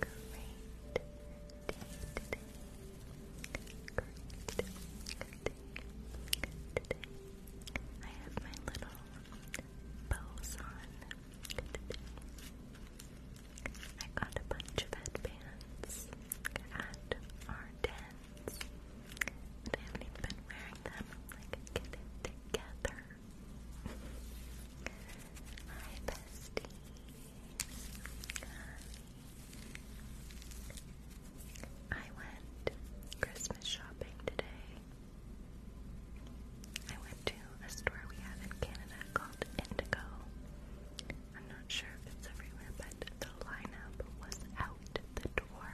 great day I have my little bows on I got a bunch of headbands at our dens. And haven't been wearing them. like, together. Hi, bestie. I went Christmas shopping today. I went to a store we have in Canada called Indigo. I'm not sure if it's everywhere, but the lineup was out the door.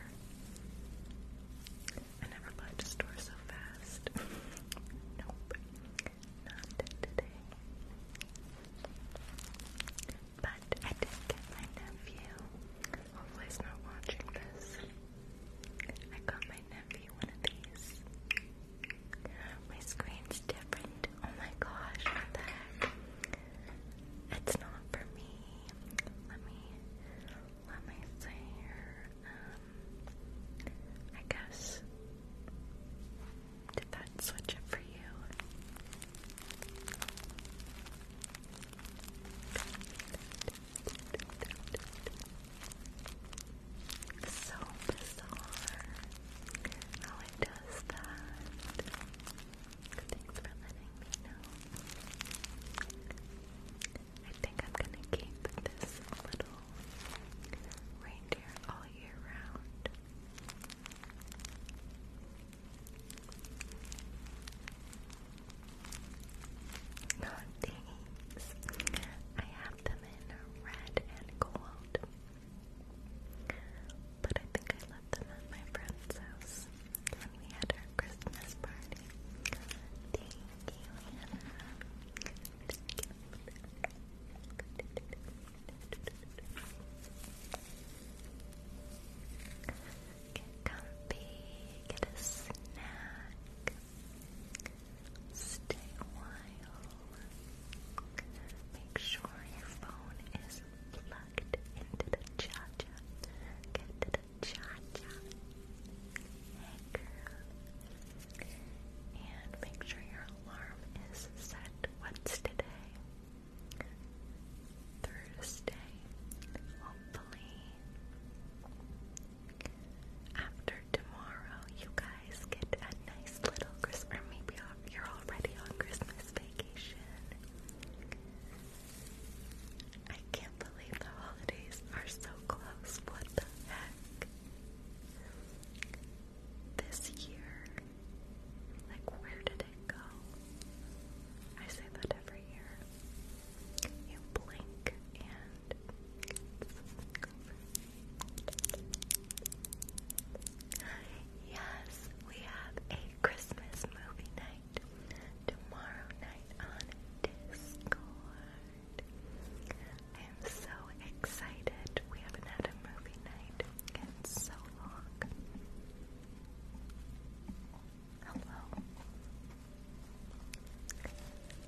I never liked a store so fast. nope. Not today. But I did get my nephew. Hopefully he's not watching this. I got my nephew one of these. My screen's different. Oh my gosh, what the heck? It's not for me. Let me let me see here. Um I guess did that switch it for you? So bizarre how it does that. Thanks for letting me know. I think I'm gonna keep this little Reindeer all year round. Oh, I have them in red and gold. But I think I left them at my friend's house when we had our Christmas party. Thank you, Get comfy, get a snack, stay a while. Make sure your phone is plugged into the charger. Get the charger. Hey girl, and make sure your alarm is set. What's today? Thursday. Hopefully, after tomorrow, you guys get a nice little Christmas. maybe you're already on Christmas vacation. I can't believe the holidays are so close. What the heck? this year? Like, where did it go? I say that every year. You blink and Yes, we have a Christmas movie night tomorrow night on Discord i am so excited. We haven't had a movie night in so long. Hello.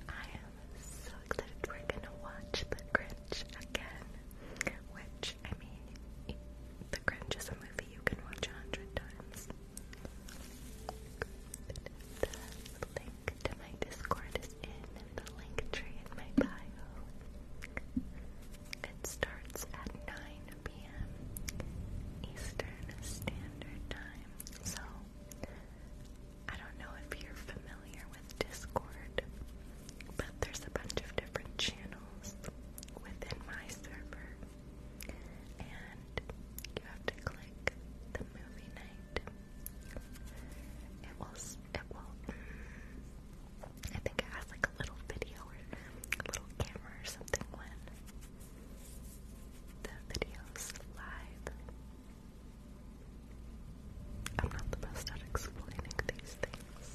I am so excited. We're gonna watch The Grinch again. Which, I mean, The Grinch is a movie you can watch a hundred times. The link to my Discord is in the link tree in my bio. It starts at 9 p.m. Eastern Standard Time. So, I don't know if you're familiar with Discord, but there's a bunch of different channels within my server. And you have to click the movie night. It will it I think it has like a little video or a little camera or something when the video's live. I'm not the best at explaining these things.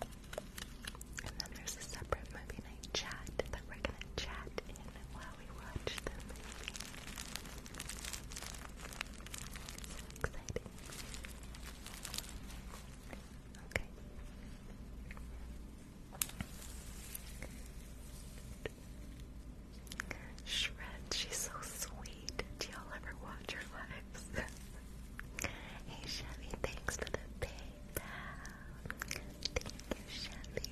And then there's a separate movie night chat that we're gonna chat in while we watch the So excited. Okay. Shred, she's so sweet. Do y'all ever watch her lives? hey Chevy, thanks for the PayPal. Thank you, Chevy.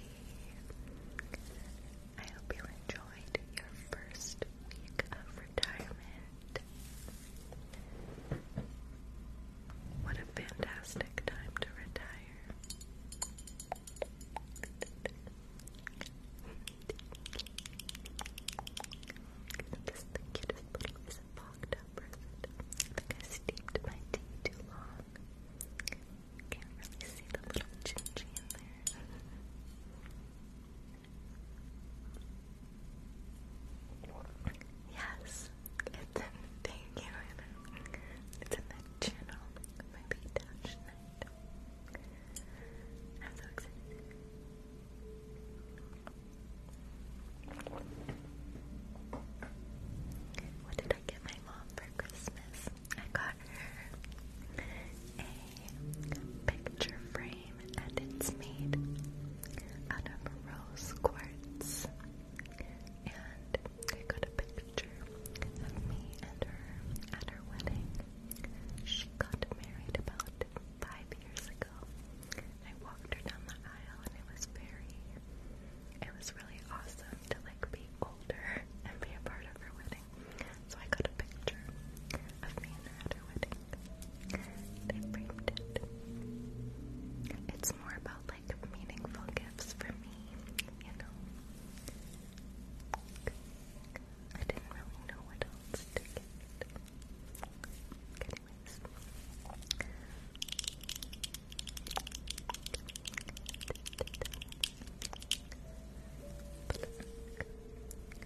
I hope you enjoy enjoyed your first week of retirement. What a fantastic time to retire. This is the cutest little is a fogged up present. I think I steeped my tea too long. Can't really see the little chin in there. Yes, it's in thank you, It's in the channel of touch night. What did I get my mom for Christmas? I got her a picture frame and it's made out of rose quartz. And I got a picture of me and her at her wedding. She got married about five years ago. I walked her down the aisle and it was very it was really awesome to like be older and be a part of her wedding wedding. So I got a picture of me at her wedding. And framed it. It's more about like meaningful gifts for me, you know. I didn't really know what else Anyways.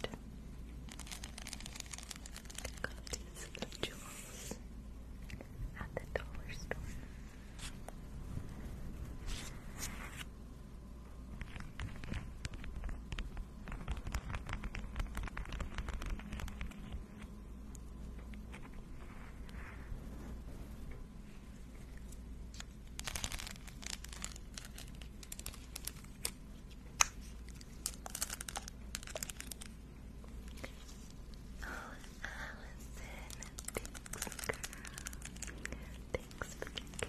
Good. Got these jewels at the dollar store. Allison, thanks, girl. Thanks for kicking,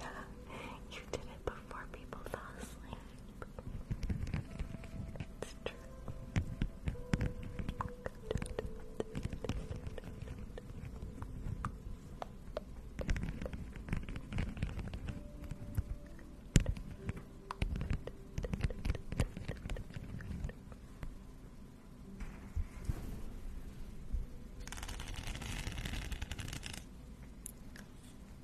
yeah, you did it before people fall It's true.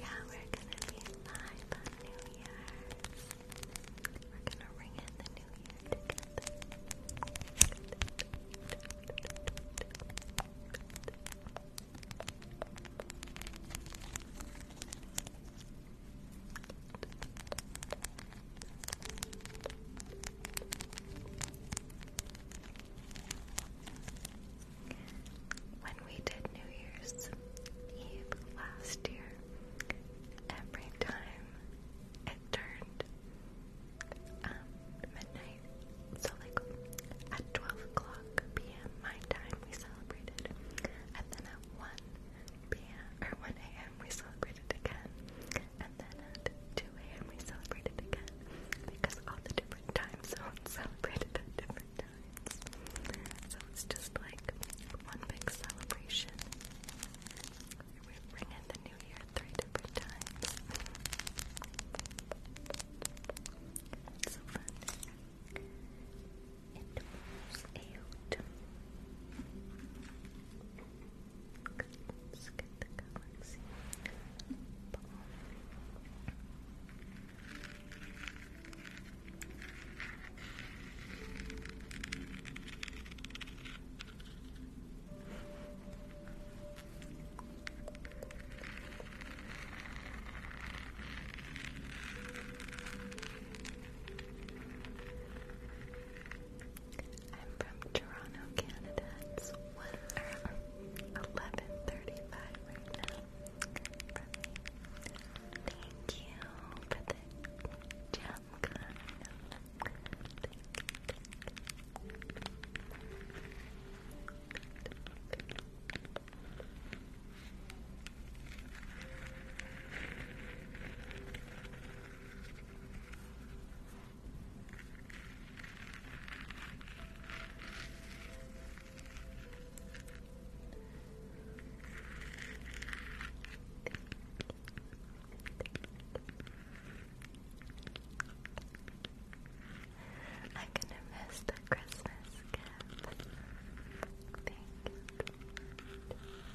Yeah, we're gonna be live on New Year's. We're gonna ring in the New Year when we did New Year's Eve last year, every time it turned um, midnight, so like at 12 o'clock p.m. my time, we celebrated, and then at 1 p.m. or 1 a.m. we celebrated again, and then at 2 a.m. we celebrated again because all the different time zones celebrated at different times. So it's just like one big celebration. We bring in the new year three different times. so fun. It moves out. Okay, let's get the galaxy ball. Okay, I'm from Toronto, Canada. It's 11:35 right now Thank you for the jam Thank you. I'm gonna miss the Christmas gift. Thank you.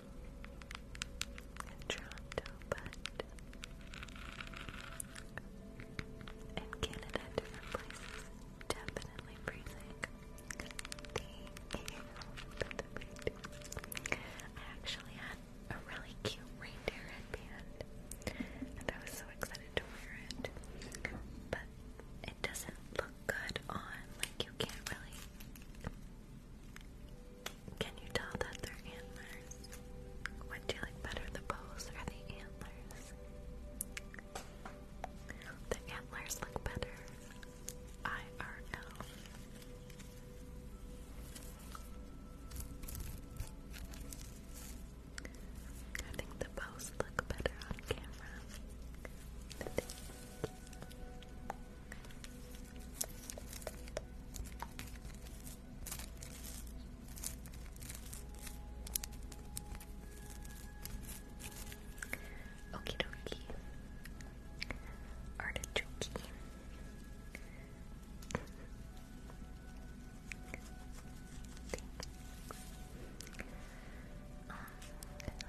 in Toronto, but in Canada, different places, definitely freezing. Thank you. I actually had a really cute reindeer headband, and I was so excited to wear it, but it doesn't look good on, like you can't really can you tell that they're antlers? What do you like better, the bows or the antlers? The antlers look better. IRL. I think the bows look better on camera. Okie dokie. Artichoke. Um,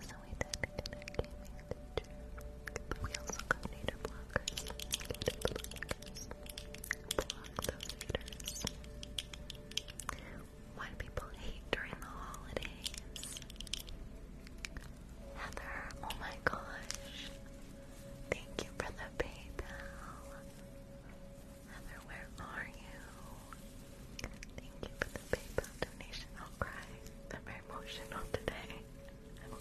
so we did in our gaming teacher we also got nader blockers. Why do people hate during the holidays? Heather, oh my gosh. Thank you for the PayPal. Heather, where are you? Thank you for the PayPal donation. I'll cry. I'm very emotional today. I will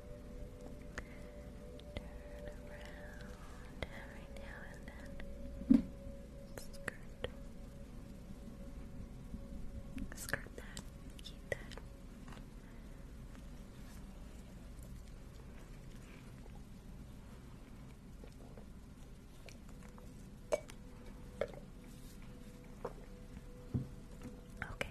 Turn around every now and then. Skirt. Skirt that. Keep that. Okay.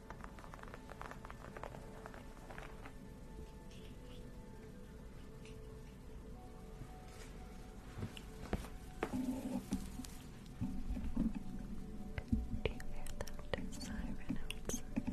Do you hear that siren outside?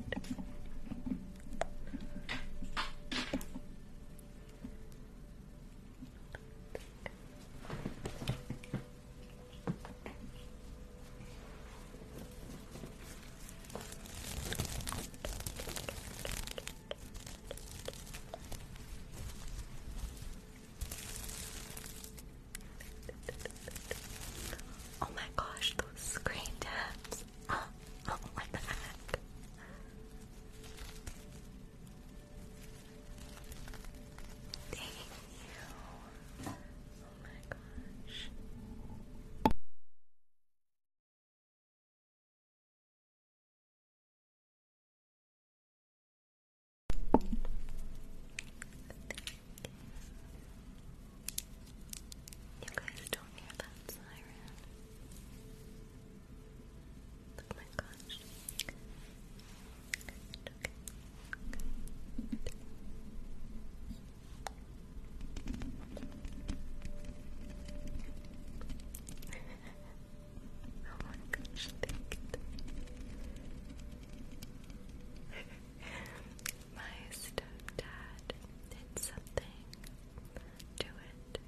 Oh my gosh, those screen tabs. Oh, my back. Thank you. Oh my gosh. You guys don't hear that siren. Oh my gosh oh my gosh, thank you. my stepdad did something to it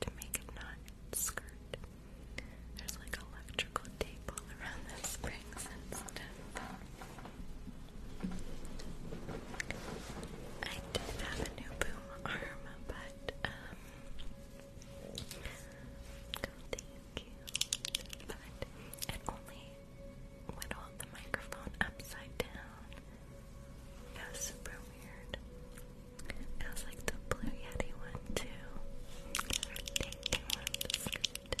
to make it not skirt. There's like electrical tape all around the springs and stuff. I did have a new boom arm, but um thank you. But it only whittled the microphone upside down. It was super weird. It was like the blue yeti one too. Thank you, I'm just good.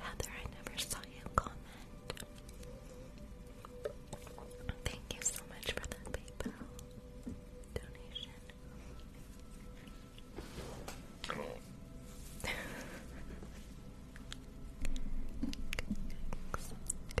Heather, I never saw you comment. Thank you so much for that PayPal donation.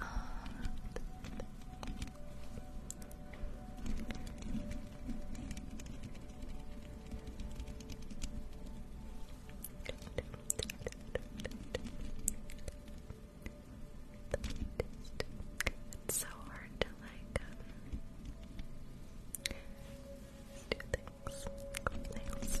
Um, it's so hard to like do things.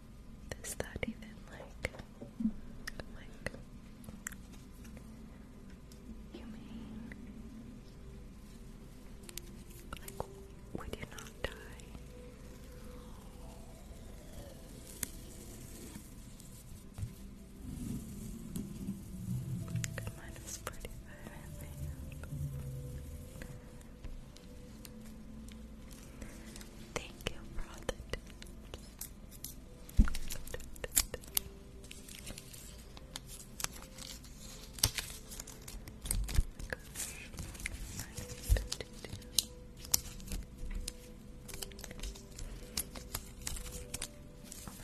Is that even like like humane? Like would you not die? Mine was Thank you for all the Oh my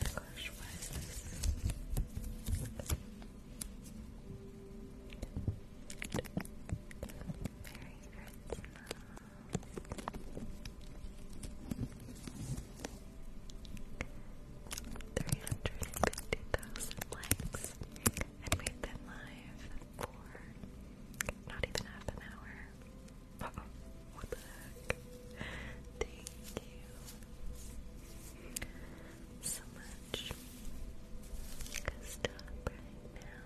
gosh, why is this? Merry Christmas. Three hundred and fifty thousand likes, and we've been live for not even half an hour. Uh -oh. What the heck? Thank you so much. Stop right now.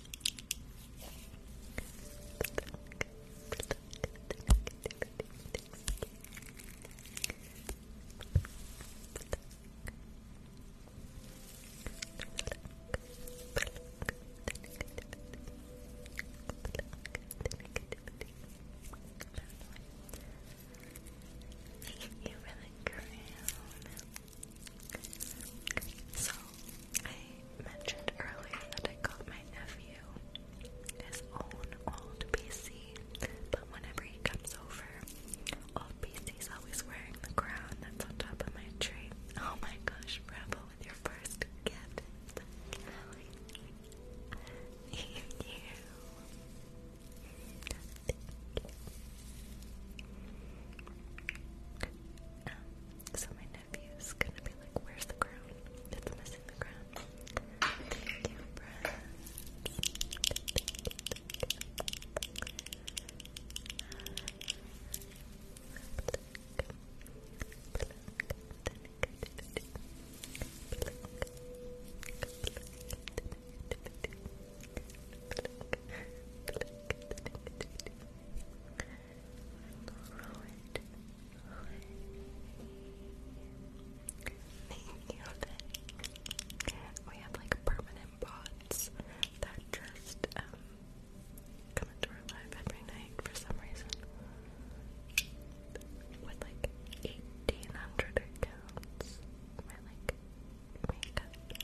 Thank you for the crown. So I mentioned earlier that I got my nephew his own old PC, but whenever he comes over, old PC's always wearing the crown that's on top of my tree. Oh my gosh, Rebel with your first gift. so my nephew's gonna be like, where's the crown? It's missing the crown. Thank you, Blow it away. Thank you, We have like permanent bots that just um, come into our live every night for some reason. With like eighteen hundred accounts. My like makeup.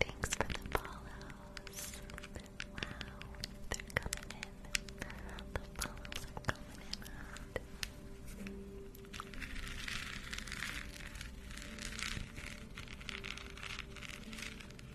Thanks for the follows. Wow, they're coming in. The follows are coming in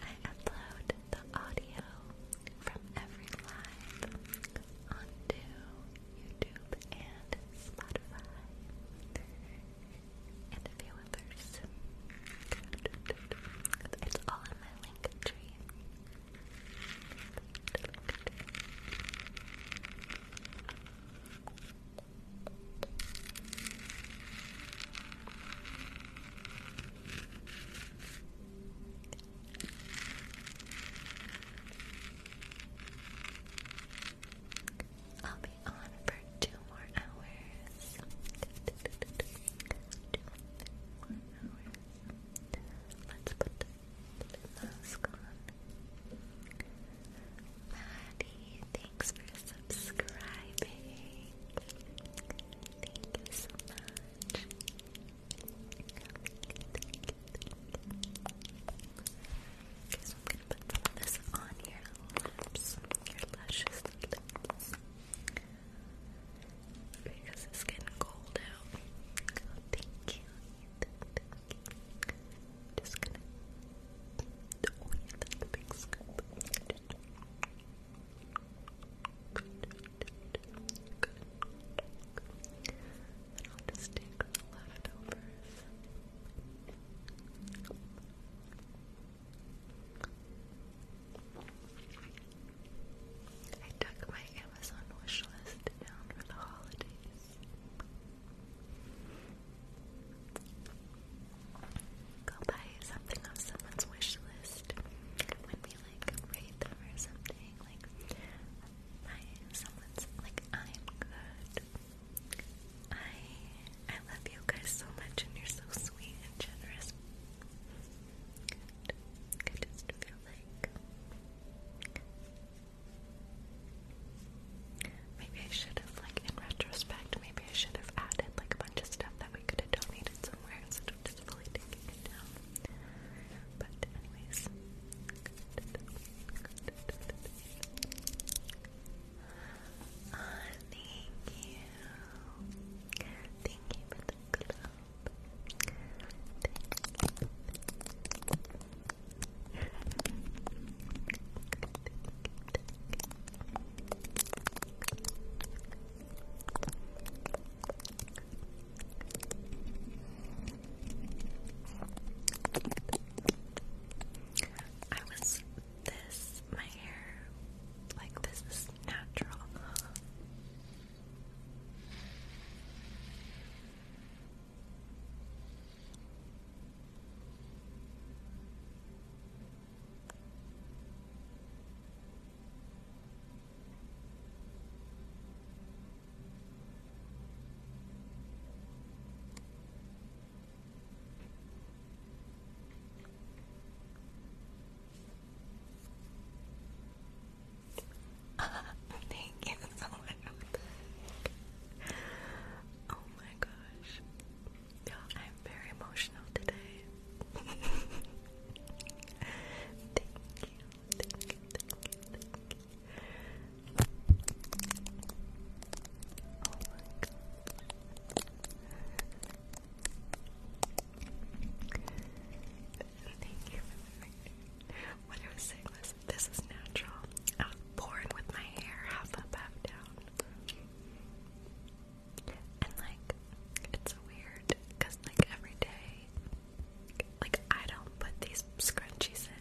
I upload the audio from every live onto YouTube and Spotify and a few others. It's all in my link tree. I'll be on for two more hours. Two more hours. Let's put the mask on. Maddie, thanks for subscribing. Thank so much. Okay, I'm gonna put some of this on your lips, your luscious lips. Because it's getting cold out. thank you, just going I'll just take the leftovers. I took my Amazon wish down for the holidays. Go buy something off someone's wish list when we like rate them something. Like, I someone's like, I'm good. I I love you guys so much, and you're so sweet and generous. I just feel like Maybe I should have, like, in retrospect, maybe I should have added, like, a bunch of stuff that we could have donated somewhere instead of just fully taking it down. But, anyways. Uh, you. Thank you for the club. I was this, my hair, like this is natural. Thank you so much. Oh, my gosh. I'm very emotional today. thank you, thank you, thank you, thank you. Oh my god. Thank you for the What I was saying was this is natural. I was born with my hair half up, half down. And like, it's weird because like every day, like I don't put these scrunchies in.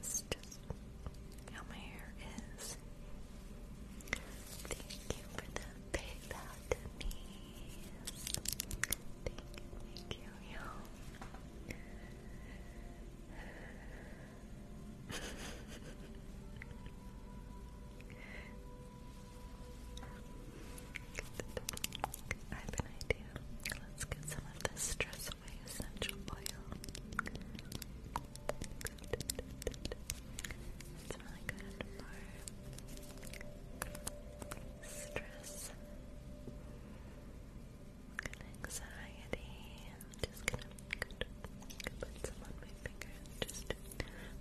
just how my hair is. Thank you for the PayPal, thank you, y'all. I have an idea. Let's get some of this stress away essential oil. It's really good for stress and anxiety. just gonna put some on my fingers. Just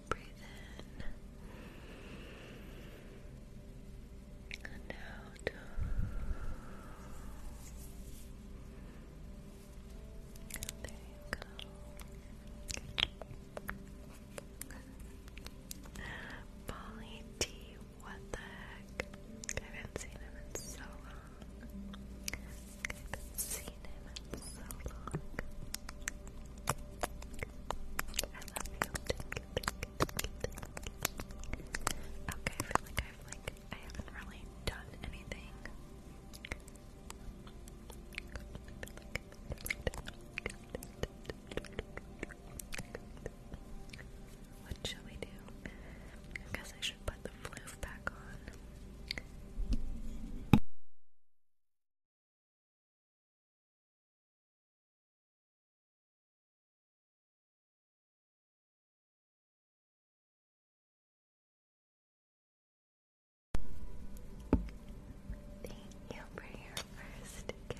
breathe in and out. There you go. Polly what the heck? I haven't seen him in so long. I haven't seen him in so long. I feel like I've not really done anything. What shall we do? I guess I should put the floof back on. Thank you for your first gift.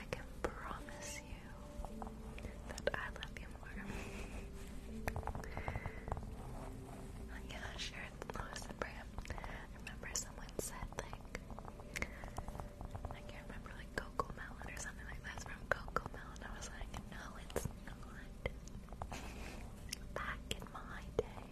I can promise you that I love you more. oh yeah, sure, Lewis and Bram. I remember someone said like I can't remember like Coco Melon or something like that's from Coco Melon. I was like, no, it's not. Back in my day.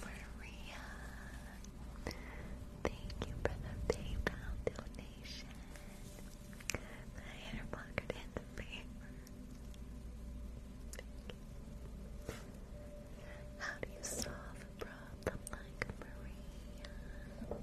Maria, thank you for the PayPal donation. The hair pocket and paper. How do you solve a problem like Maria?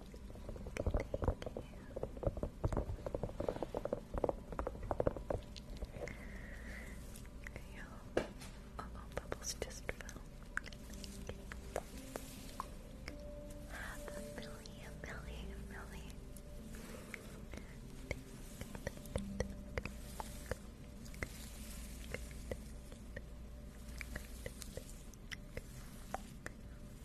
Yeah, oh, oh, bubbles just fell. a million, million, million.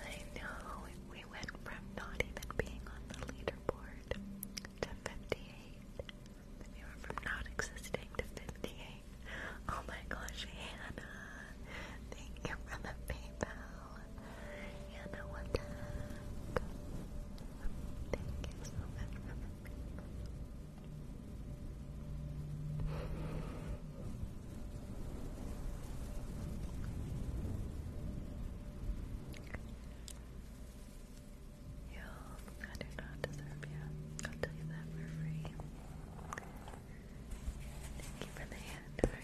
I know we went from not even being on the leaderboard to 58. We were from not existing to 58. Oh my gosh, Hannah. Thank you for the PayPal. And I want to Thank you so much for the paper. You, do not deserve you. I'll tell you that for free. Thank you for the hand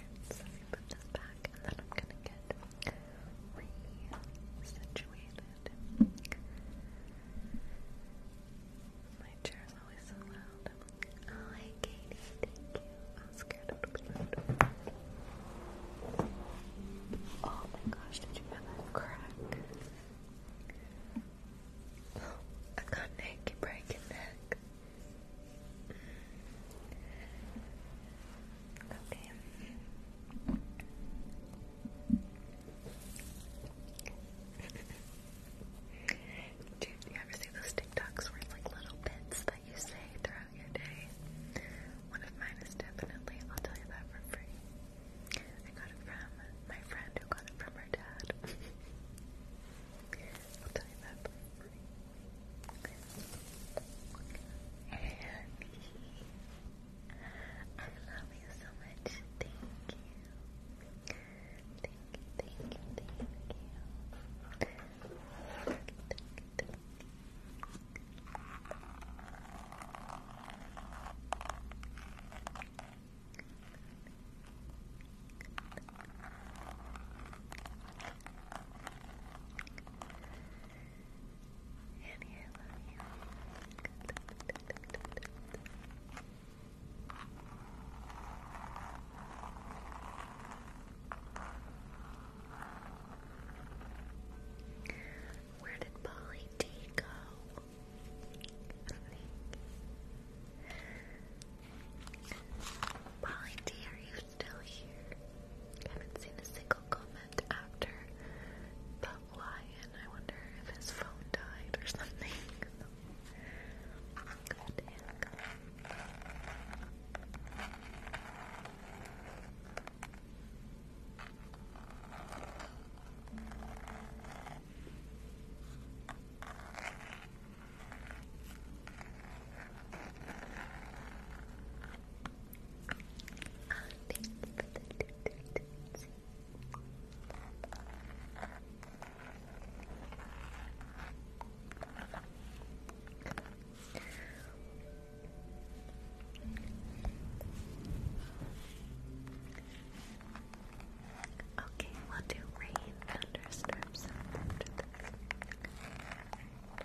put this back and then I'm gonna get re My chair is always so loud. Oh, hi Katie, thank you. I was scared it would be Oh my gosh, did you hear that crack? Oh, I got Nick breaking neck. Okay. Do you ever see those TikToks where like little bits that you say throughout your day? One of mine is definitely, I'll tell you that for free. I got it from my friend who got it from her dad. I'll tell you that I love you so much. Thank you. Thank you, thank you, thank you. Thank you, where did Polly D go? Polly D, are you you still here. haven't seen a single comment after the lion. I wonder if his phone died or something. Good thank you Okay, we'll do rain, thunderstorms after this.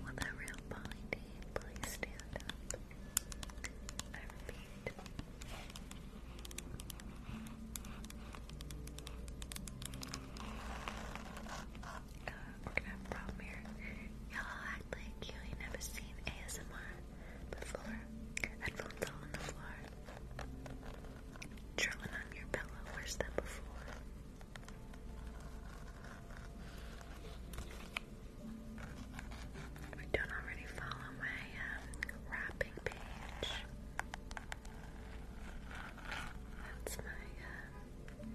Will the real Polly stand up? I repeat. Uh, we're gonna have a problem here. Y'all act like you ain't never seen ASMR the floor, headphones on the floor, drilling on your pillow, where's that before? If you don't already follow my um, wrapping page, that's my um,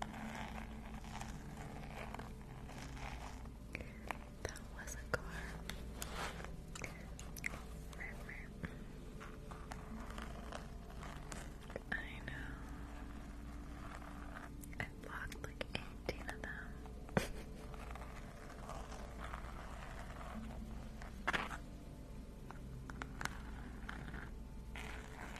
That was a car. I know. I blocked like 18 of them.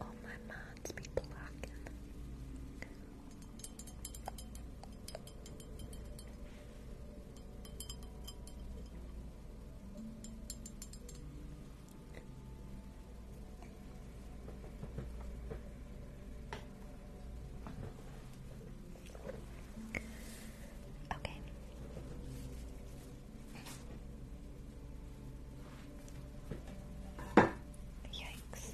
All my mods be blocking. Okay. Yikes.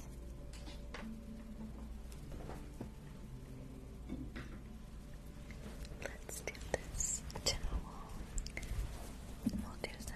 Let's do this towel. We'll do some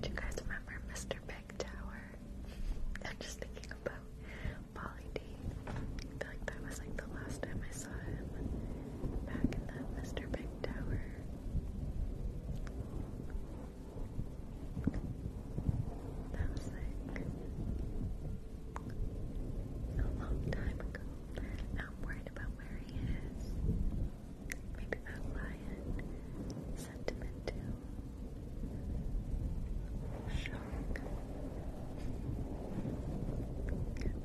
Do you guys remember Mr. Big Tower? I'm just thinking about Polly D. I feel like that was like the last time I saw him back in that Mr. Big Tower. That was like a long time ago. I'm worried about where he is. Maybe that lion sent him into shock.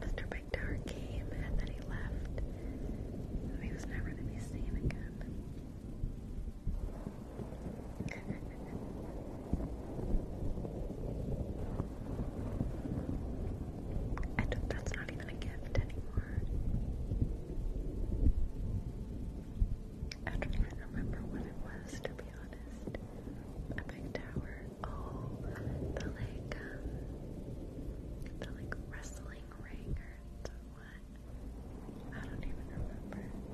Mr. Big Tower came and then he left. he was never to be seen again and that's not even a gift anymore. I don't even remember what it was, to be honest. A tower. Oh, the like, um, the like wrestling ring or what? I don't even remember.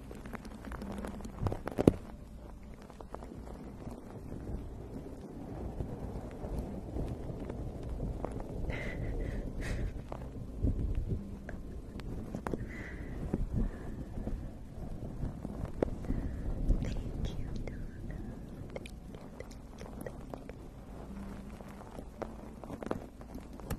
Thank you, Donna. Thank you, thank you, thank you.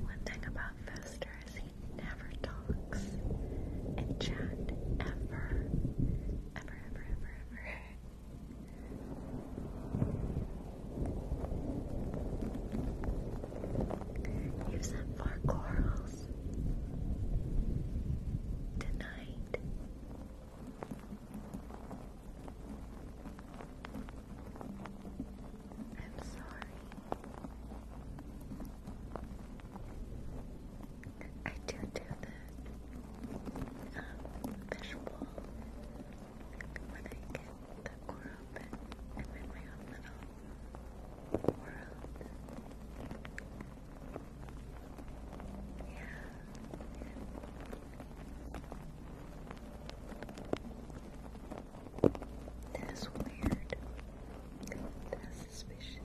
One thing about Fester is he never talks in chat ever. Ever, ever, ever, ever. You've corals tonight. I'm sorry. I do do the um, fishbowl when I get the core open. I'm in my own little world. That is weird. That is suspicious.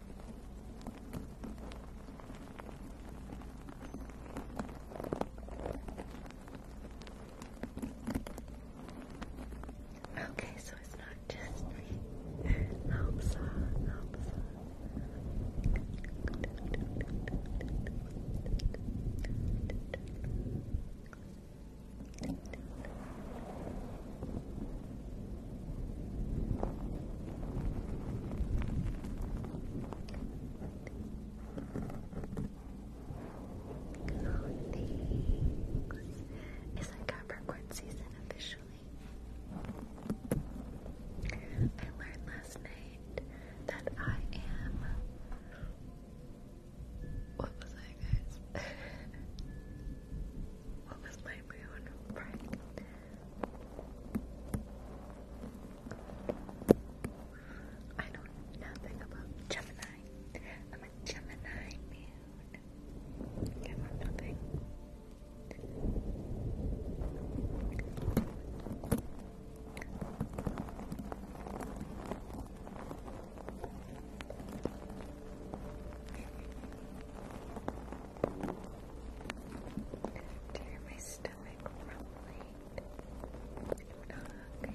Okay, so it's not just me. Uh, Oh, thanks. Is it season officially? I learned last night that I am. What was I, guys? what was my moon? I know nothing about Gemini. I'm a Gemini man. I know nothing stomach rumbling. I'm not hungry. Good.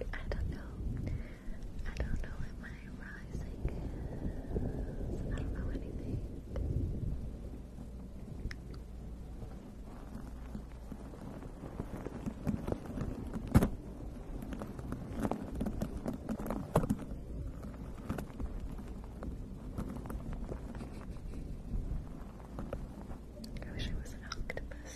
I don't know. I don't know what my rising is. I don't know anything. I wish I was an octopus.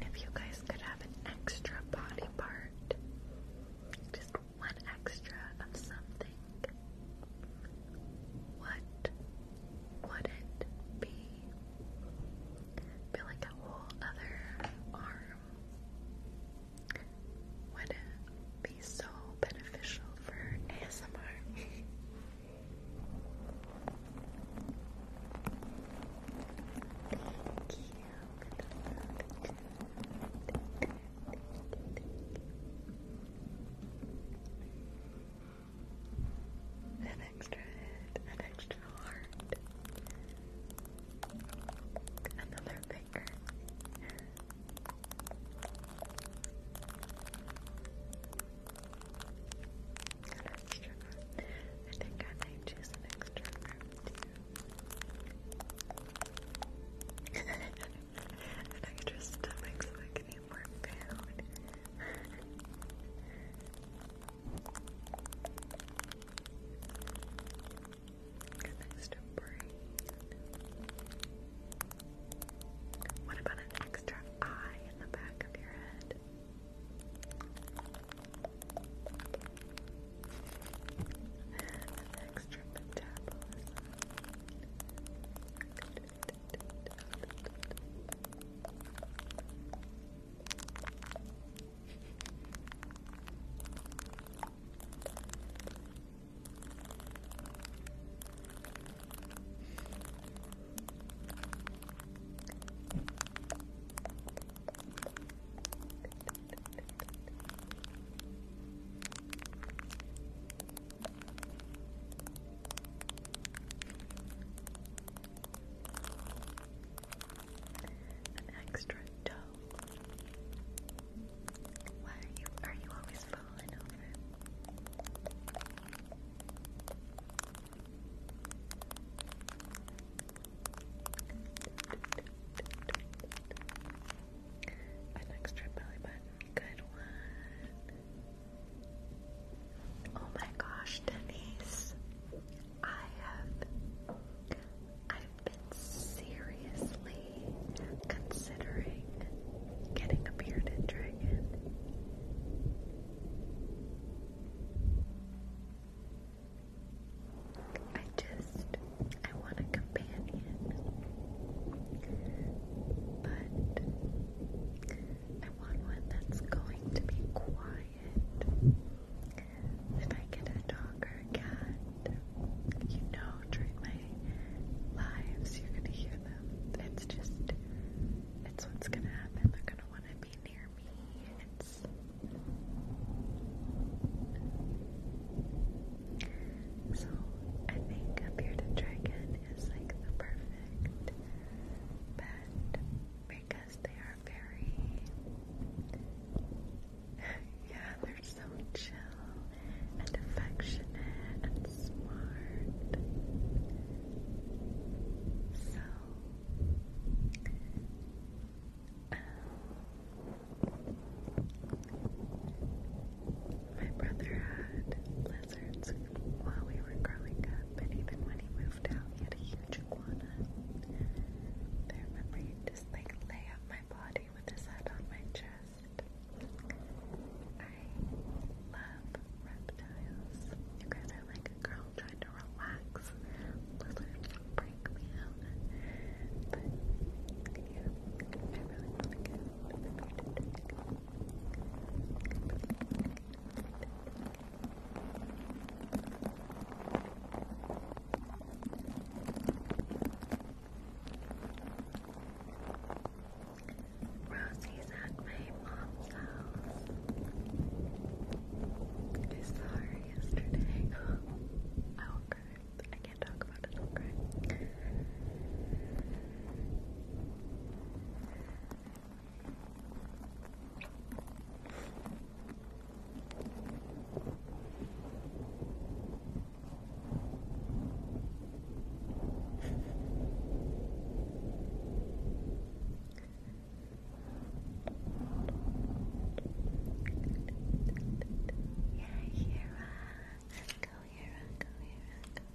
If you guys could have an extra body part, just one extra of something, what would it be? I like a whole other arm would be so beneficial for ASMR. Thank you. An extra head, an extra heart. Another finger. An extra I think I might choose an extra room too. an extra stomach so I can eat more food. Next to brain. What about an extra eye in the back of your head? An extra metabolism. An extra dove why are you are you always falling over? An extra belly button, good one. Oh my gosh, Denise. I have I've been seriously considering getting a bearded dragon. I just I want a companion. But I want one that's going to be quiet. If I get a dog or a cat, you know during my lives you're gonna hear them. It's just, it's what's gonna happen. They're gonna wanna be near me. It's. So, I think a bearded dragon is like the perfect pet. Make because they are very, yeah, they're so chill and affectionate and smart. So, um, my brother had lizards while we were growing up, and even when he moved out, he had a huge iguana. I remember he like lay up my body with his head on my chest. I love reptiles. You guys are like a girl trying to relax. Lizards break me out. Rosie's at my mom's house. I saw her yesterday. I will cry. I can't talk about it, yeah, Hera. Go, Hera. Go, Hera. Go. Good.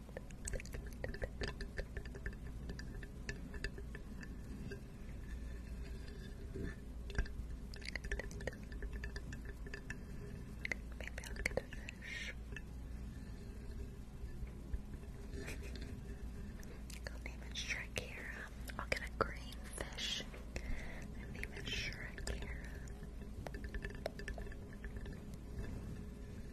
Maybe I'll get a fish. I'll name it Shrekira. I'll get a green fish. I'll name it Shrekira.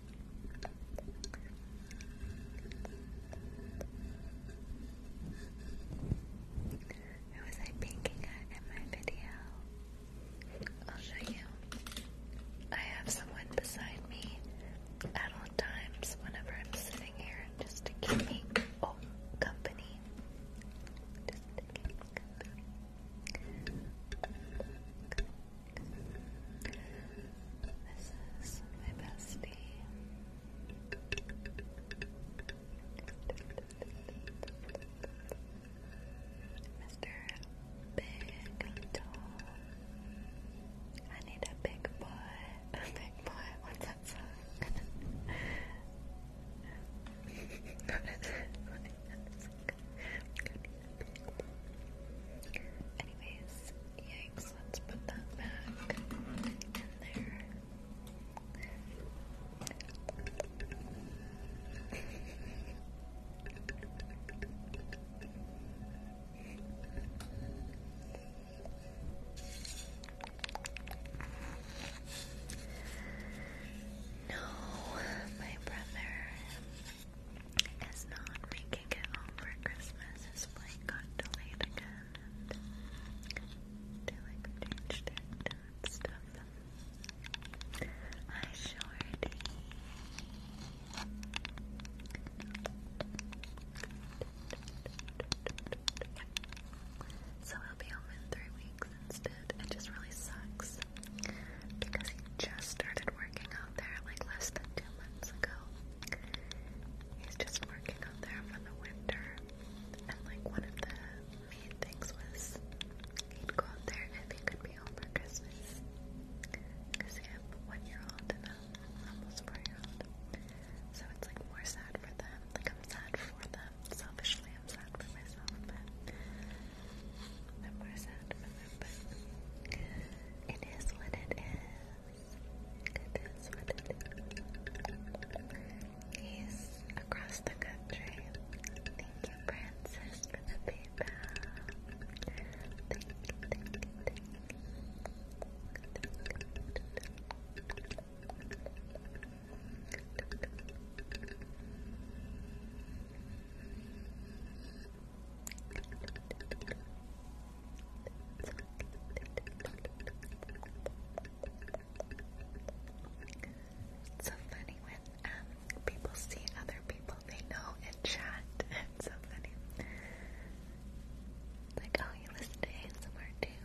Who was I pinking in my video? I'll show you. I have someone beside me at all times whenever I'm sitting here just to keep me oh, Company. This is my bestie. Mr. Big Tall. I need a big boy. A big boy. What's that song? Anyways, yikes. So let No, my brother is not making it home for Christmas display got delayed again, they like changed it and stuff. I sure did. So he'll be home in three weeks instead. It just really sucks because he just started working out there like less than two months ago. He's just working out there for the winter. And like one of the main things was he'd go out there if he could be home for Christmas. Because they a one year old and a almost four year old. So it's like more sad for them. Like I'm sad for them. Selfishly I'm sad for myself, but I'm more sad for them. it is what it is. He's across the country. Thank you, Francis, for the PayPal. Thank you, it's so funny when um, people see other people they know in chat. so funny. like, oh, you listen to ASMR too.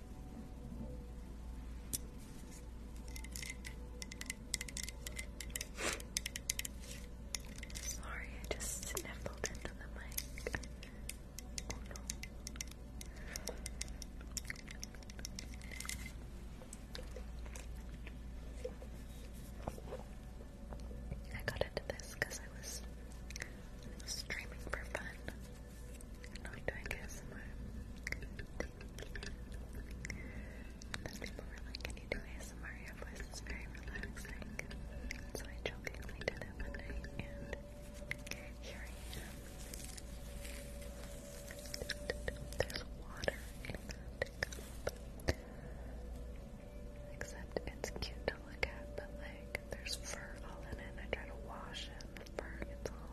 Sorry, I just sniffled into the mic. Oh no. I got into this because I was streaming for fun. I doing ASMR. people were like, can you do ASMR? Your voice is very relaxing. So I jokingly did it one night, and here I am. There's water Except it's cute to look at, but like, there's fur all in it. I try to wash it, and the fur gets all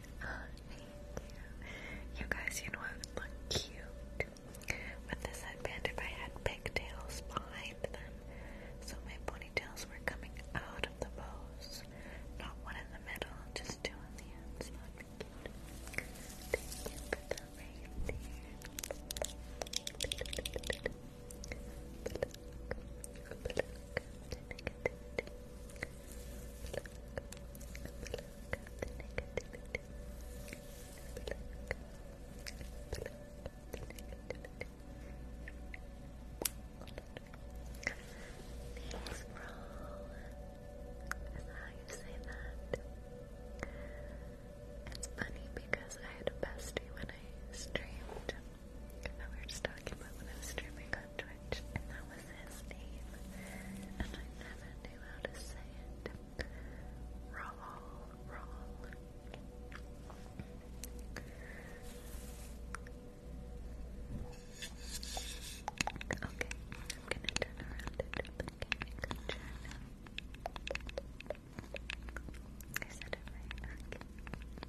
Oh, thank you. guys, you know what look cute? With this headband, if I had pigtails behind them, so my ponytails were coming out of the bows, not one in the middle, just two on the ends. Is that how you say that? It's funny because I had a bestie when I streamed. I we were just talking about when I was streaming on Twitch, and that was was his name, and I never knew how to say it. Rawl, Rawl. Okay, I'm gonna turn around and duplicate the journal. I said it right,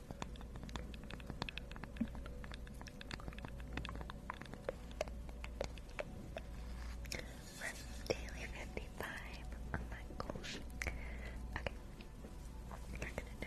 That's daily 55. Oh my gosh. Okay. I'm gonna do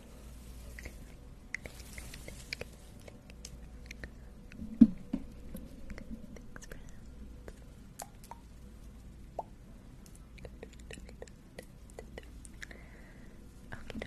Thanks, friends. Okay,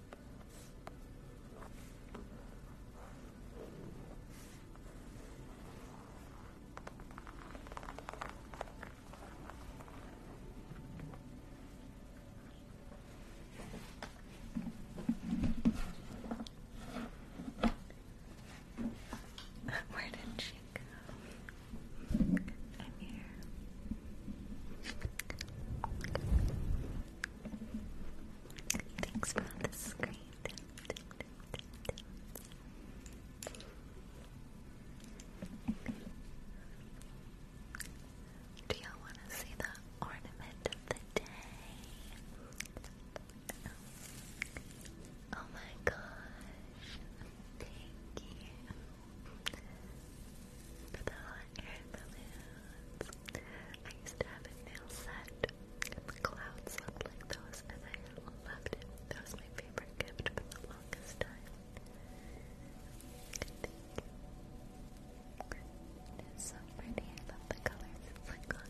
Where did she go? I'm here. Thanks for all the screen. Do y'all want to see the ornament of the day? Oh, my gosh. Thank you for the air balloon. I used to have a nail set, and clouds like those, and I loved it. That was my favorite gift for the longest time. Thank you. It is so pretty. I love the colors. It's like on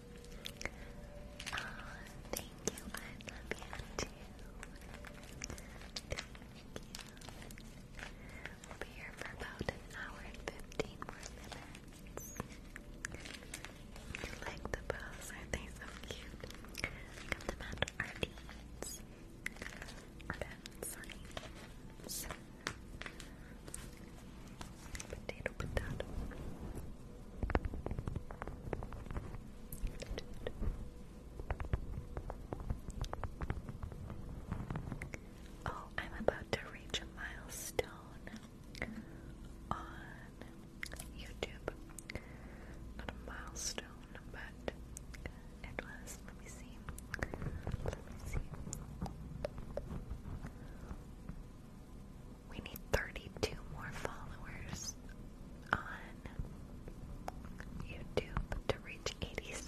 thank you. I love you too. Thank you. We'll be here for about an hour and 15 minutes. like the bows? Aren't they so cute? Come to Mount Ardennes. Ardennes, sorry. Potato, potato. Oh, I'm about to reach a milestone on YouTube. Not a milestone, but Let me see. Let me see. We need 32 more followers on YouTube to reach 87,000.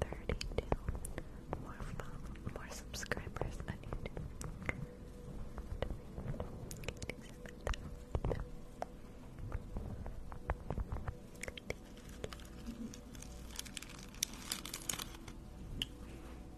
32 more, follow more subscribers on YouTube.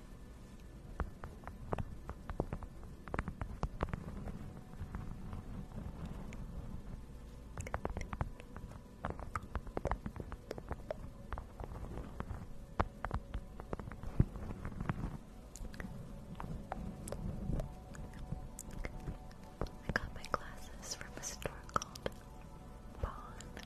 I got my glasses from a store called Bond.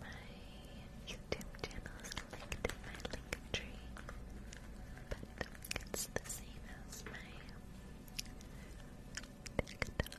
My YouTube channel is linked in my link tree, but it's the same as my TikTok.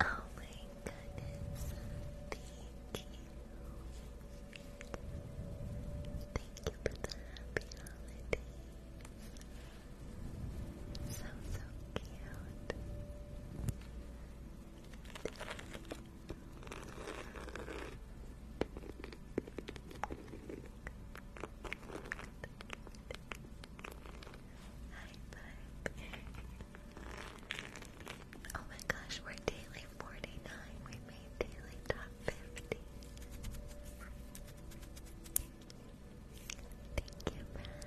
Oh my goodness. Thank you. Thank you for the happy holidays. So, so cute. High five. Oh my gosh, we're daily 49. We made daily top 50. Thank you, friends.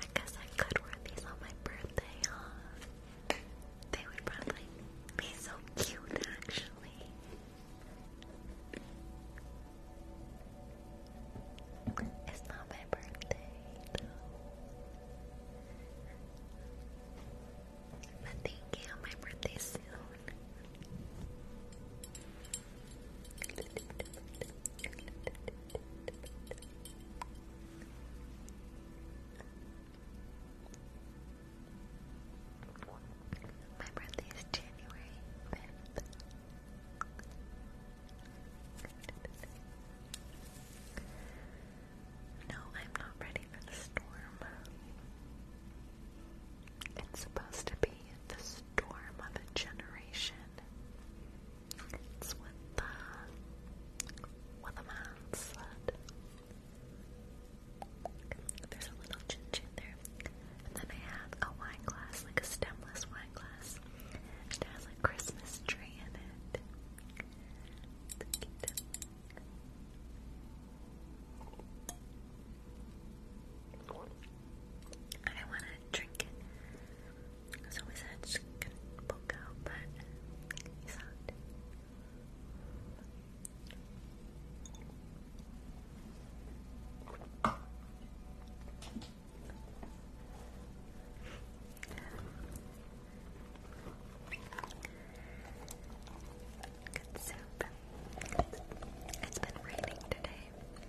I guess I could wear these on my birthday, huh? They would probably be so cute, actually. It's not my birthday, though. But thank you, my birthday soon. My birthday is January No, I'm not ready for the storm. It's supposed to be the storm of a generation. It's what the uh, what the man said. There's a little chin And then I have a wine glass, like a stemless wine glass. It has a Christmas tree in it. I want to drink it. So his head's gonna poke out, but he's out. Good soup. It's been raining today.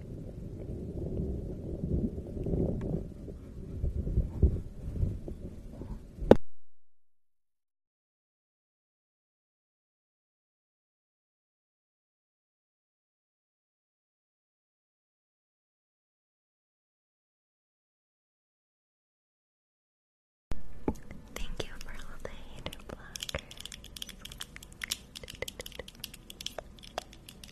Thank you for all the hater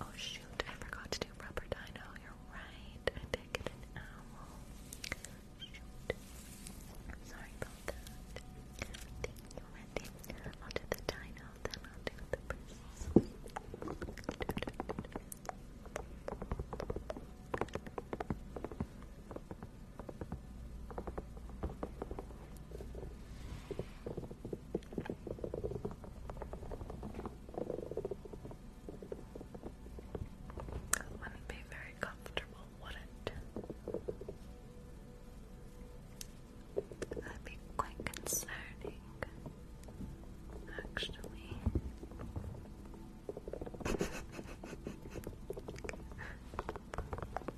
Oh shoot, I forgot to do rubber dino. You're right. Sorry about that. I'll do the dino, then I'll do the princess. That wouldn't be very comfortable, would it? That'd be quite concerning, actually.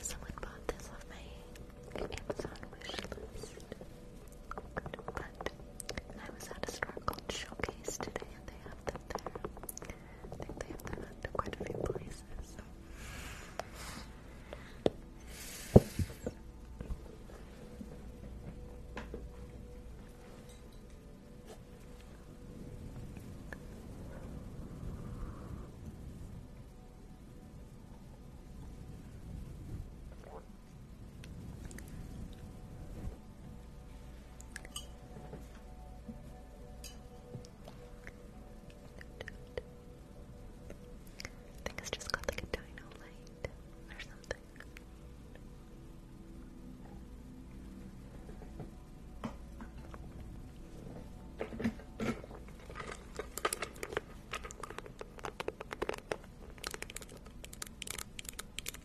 Someone bought this off my Amazon wish but I was at a store called Showcase today, and they have them there. I think they have that at quite a few places. I think it's just got like a dino light or something.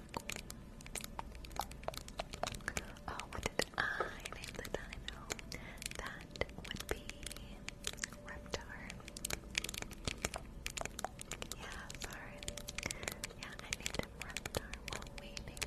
Oh, what did I name the dino? That would be Reptar. Yeah, sorry. Yeah, I named him Reptar. Well, we named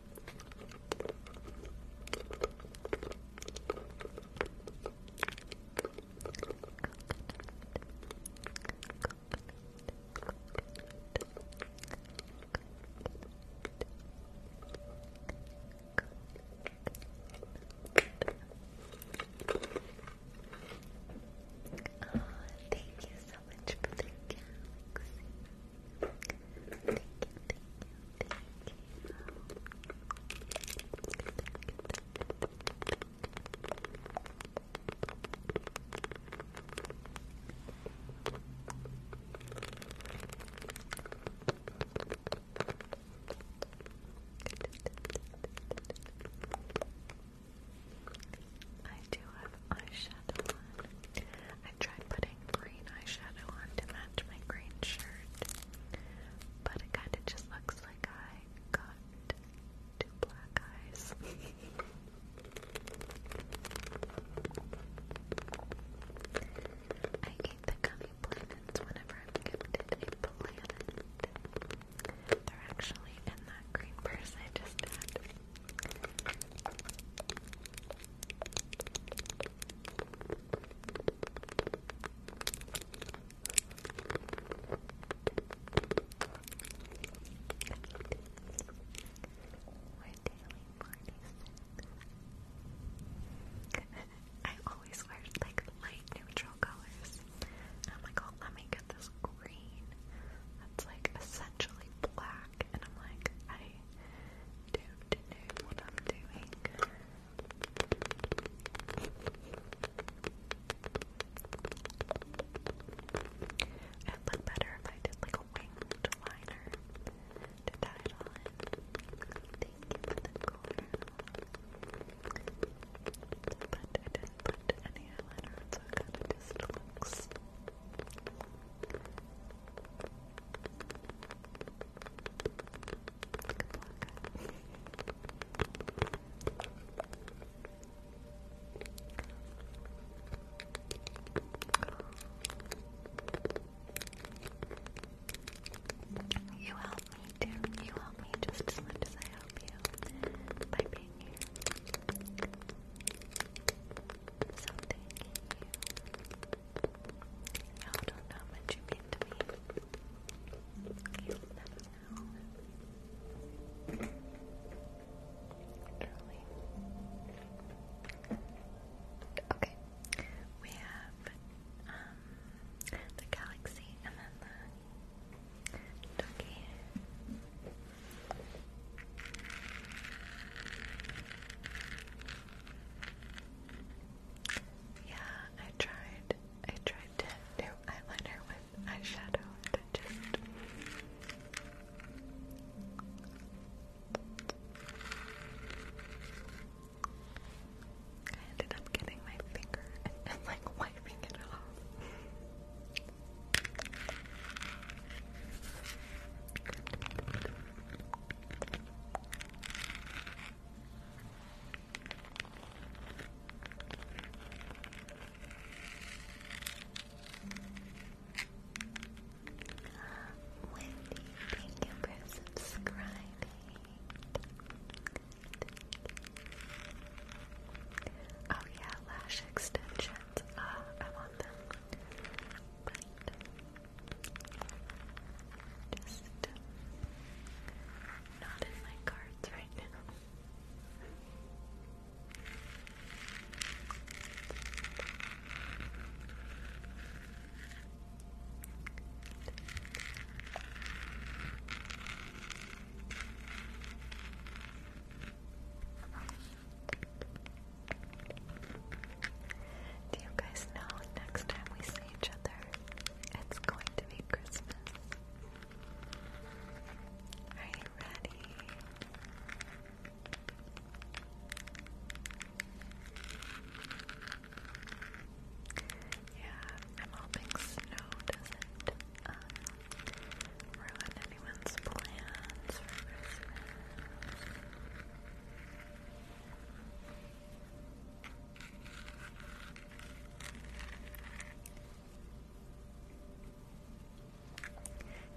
Oh, thank you so much for galaxy. I do have eyeshadow I tried putting green eyeshadow on to match my green shirt, but it kind of just looks like I got two black eyes. I eat the gummy planets whenever I'm gifted a planet. They're actually in that green purse I just had. I always wear like light neutral colors. And like, oh, let me get this green that's like essentially black. And I'm like, I don't know what I'm doing. It'd look better if I did like a winged liner to tie it on. Thank you But I didn't put any eyeliner so it just looks. You help me too. You help me just as much as I help you by being here. So thank you. Now don't know how you mean to me. Okay. We have um the galaxy and then the ducky. Yeah, I tried. I tried to do eyeliner with eyeshadow and it just I ended up getting my finger and, and like wiping it off. Wendy, thank you for subscribing. Oh yeah, lash extensions. Ah, I want them. Just not in my cards right now. Do you guys know next time we see each other, it's going to be Christmas. Are you ready? Yeah, I'm hoping snow doesn't uh, ruin anyone's plans for Christmas.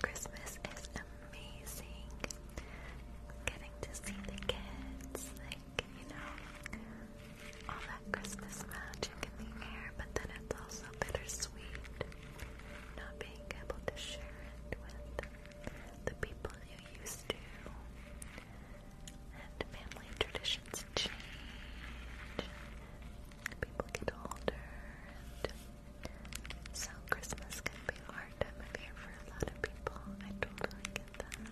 Christmas is amazing. Getting to see the kids, like, you know, all that Christmas magic in the air, but then it's also bittersweet. Not being able to share it with the people you used to. And family traditions change. People get older, and so Christmas can be a hard time of year for a lot of people. I totally get that.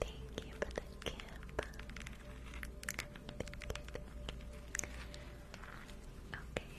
Thank you for the gift. Okay.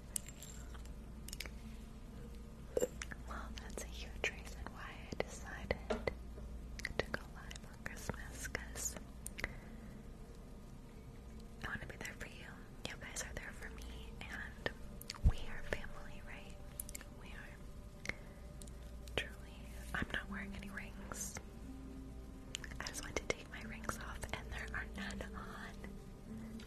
Well, that's a huge reason why I decided to go live on Christmas because I want to be there for you. You guys are there for me, and we are family, right? We are. Truly. I'm not wearing any rings. I just want to take my rings off, and there are none on. This is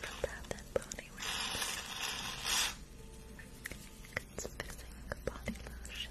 from Bath and Body Works. It's fixing body lotion.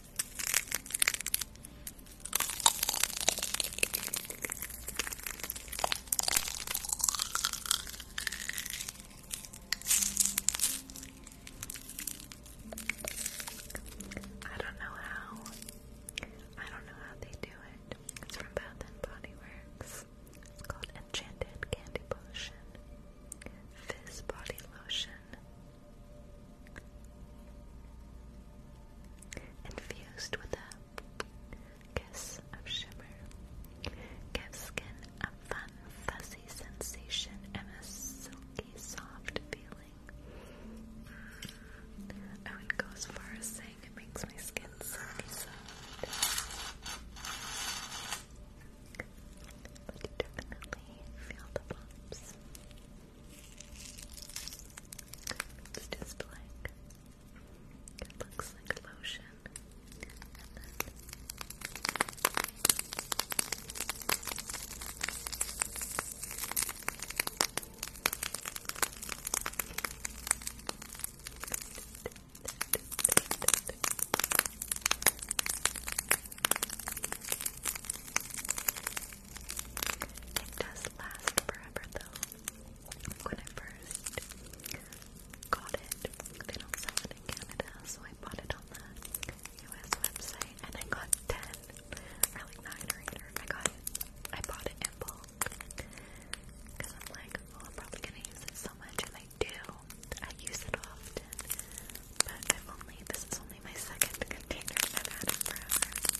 I don't know how. I don't know how they do it. It's from Bath and Body Works. It's called Enchanted Candy Potion. Fizz Body Lotion. Infused with a kiss of shimmer, gives skin a fun, fuzzy sensation and a silky, soft feeling. I would as far as saying it makes my skin soft. you definitely feel the bumps. It's just blank. It looks like lotion. It does last forever though. When I first got it, they don't sell it in Canada, so I bought it on the US website and I got 10 or like 9 or 8 I got I bought it in bulk because I'm like, oh, I'm probably gonna use it so much, and I do. I use it often, but I've only this is only my second container. I've had it forever.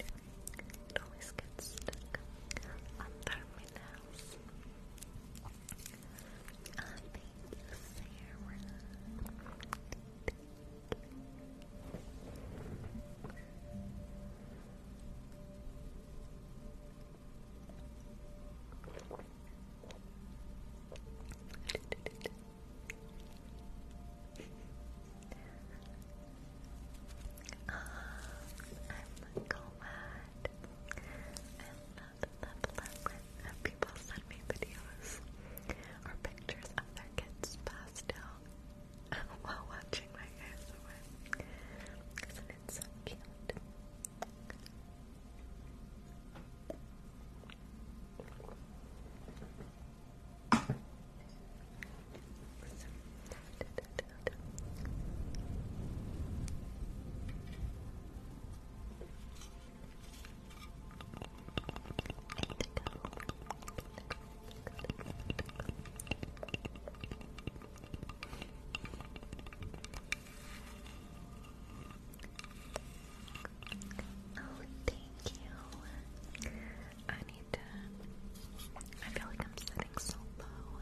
It always gets stuck under my nails. Oh, thank Sarah. Thank you. Uh, I'm glad. I love, love, love people send me videos or pictures of their kids' pastel while watching my ASMR. is so cute? Oh, thank you. Ani I feel like I'm sitting so low.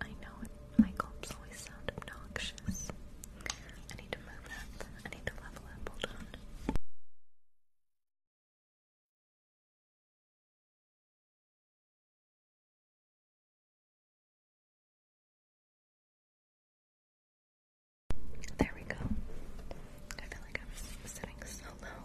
I know my gulps always sound obnoxious. I need to move up. I need to level up. Hold on. There we go. I feel like I was sitting so low.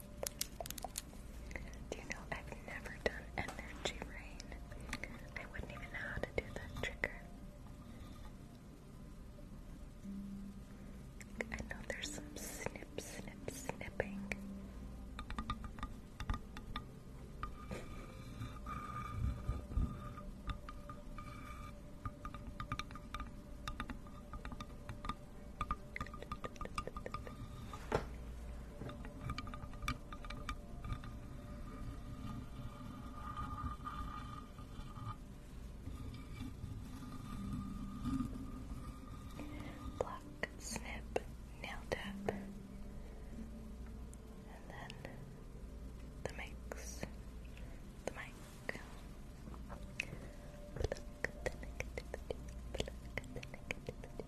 Do you know I've never done energy rain? I wouldn't even know how to do that trick. I know there's some snip, snip, snipping. Pluck, snip, nail tap, and then the mix, the mic.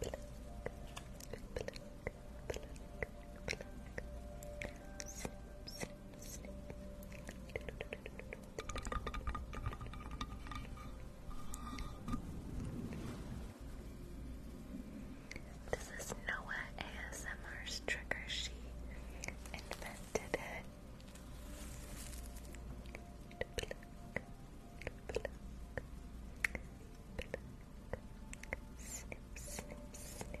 This is Noah ASMR's trigger. She invented it. Pluck, Snip, snip, snip.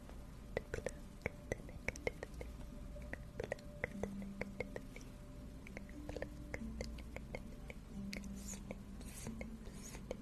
Pluck the negativity. Pluck the negativity. Pluck the negativity. Snip, snip, snip. Good.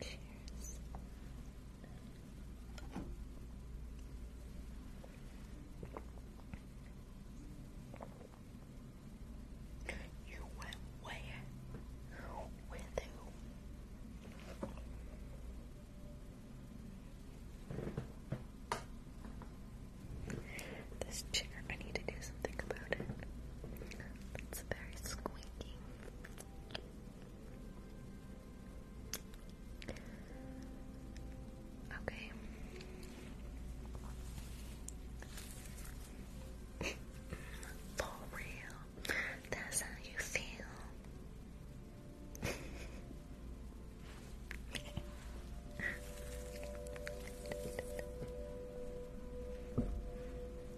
Cheers. You went where? With who? This chair, I need to do something about it. It's very squeaky. Okay. For real, that's how you feel.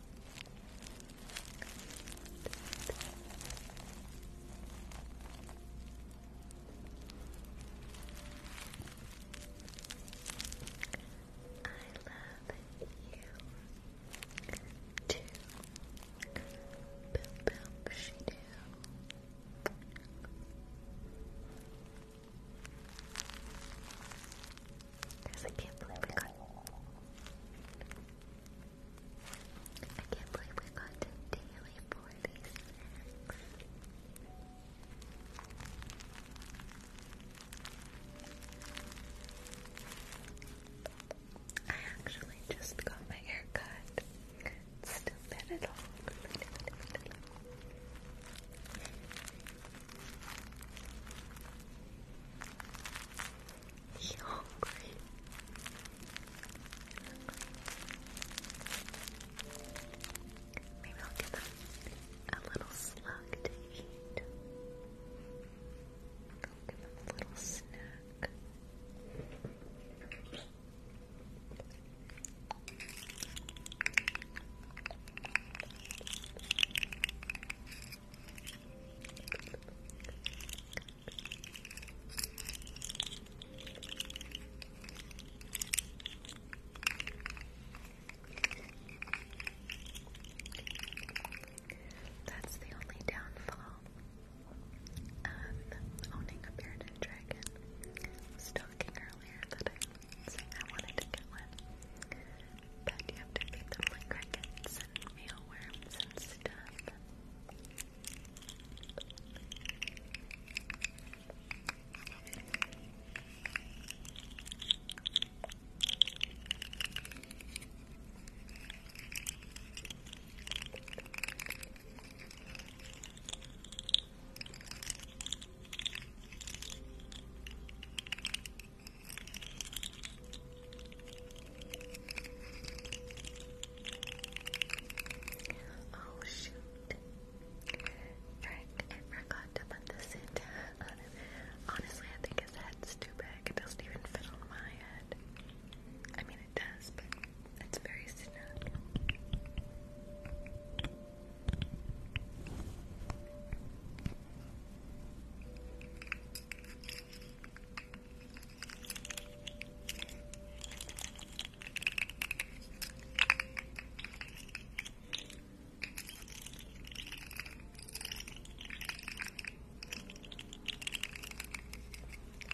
too. Boom, boom, she do. Guys, I can't believe we got. I can't believe we got daily for these snacks. I actually just got my hair still bad at all. Be hungry. Maybe I'll give them a little slug to eat. I'll give them a little snack. That's the only downfall of owning a bearded dragon. I earlier that I See, I wanted to get one. But you have to feed them crickets and mealworms and stuff. Oh shoot. Frick, I forgot to put this in. Honestly, I think his head's too big. It doesn't even fit on my head. I mean, it does, but it's very snug.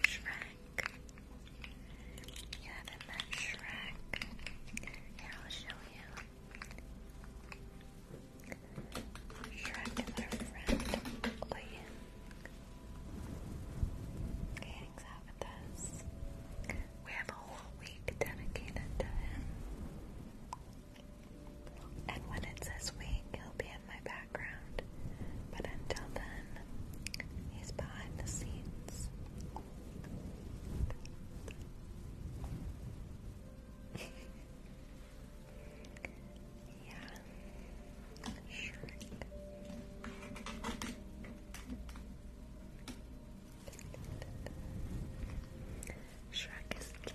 Shrek. You haven't Shrek. I'll show you. Shrek and their friend playing. hangs out with us. We have a whole week dedicated to him. And when it's this week, he'll be in my background. But until then, he's behind the scenes. Yeah. Shrek. Shrek is king.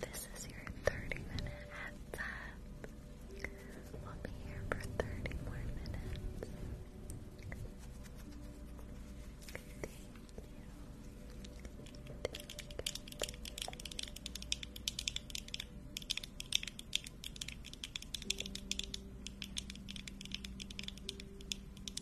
This is your 30 minute heads We'll be here for 30 more minutes. Thank you. Thank you.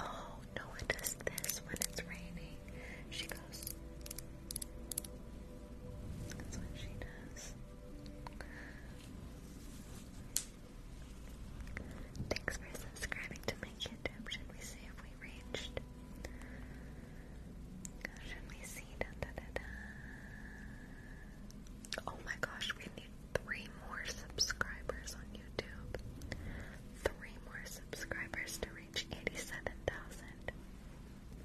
Oh, no one does this when it's raining. She goes. That's what she does. Thanks for subscribing to my YouTube. Should we see if we reached? Should we see? Oh my gosh, we need three more subscribers on YouTube. Three more subscribers to reach 87,000.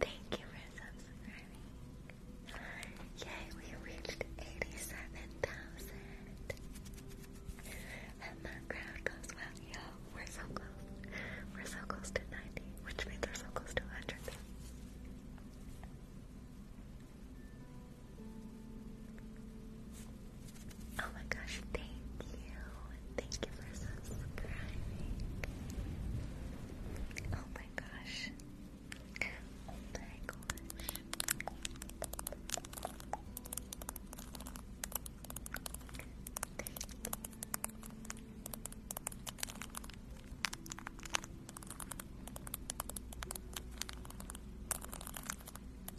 Thank you for subscribing. Yay, we reached 87,000. And the crowd goes well, yo. We're so close. We're so close to 90, which means we're so close to 100. Oh my gosh, thank you. Thank you for subscribing. Oh my gosh. Oh my gosh.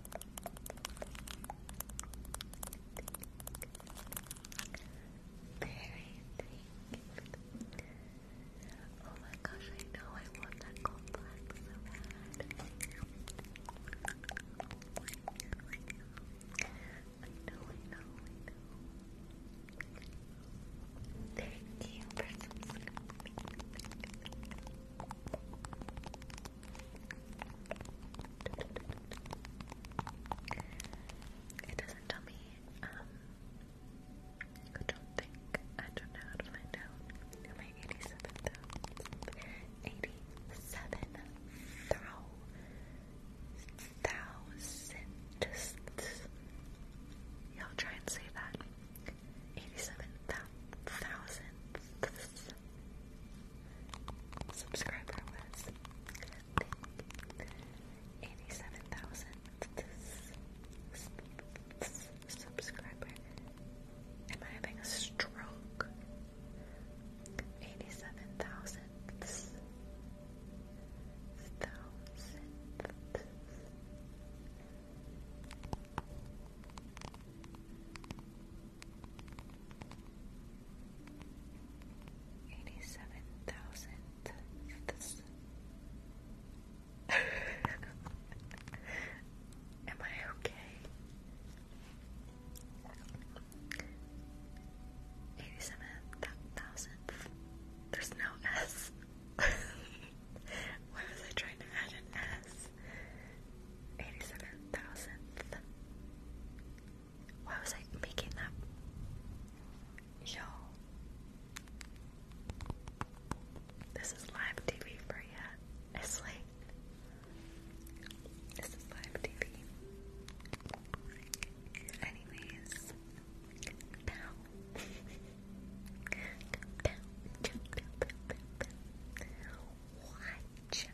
Thank you. There, thank you. Oh my gosh, I know I want that gold black so bad. I know, I know, I know. Thank you for subscribing. It doesn't tell me, um, I don't think, I don't know how to find out. Am I 87 87 thou you Y'all try and say that. 87 thou subscriber was, 87,000 subscriber. Am I having a stroke? 87,000 thousandth. Eighty-seven thousandth. Am I okay? Eighty-seven thousandth. There's no S. Why was I trying to add an S? Eighty-seven thousandth. Why was I making that? Yo, this is live TV for you. It's this is live TV. Anyways, now.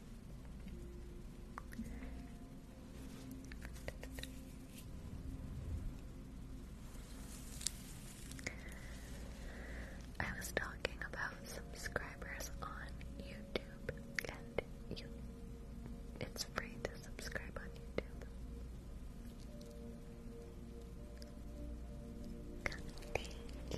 I was talking about subscribers on YouTube, and you, it's free to subscribe on YouTube. Thank you.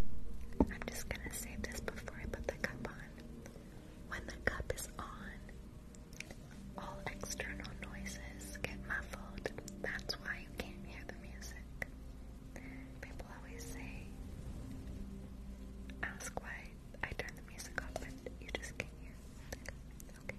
I'm just gonna save this before I put the cup on. When the cup is on, all external noises get muffled. That's why you can't hear the music. People always say, ask why I turn the music off, but you just can't hear. Okay.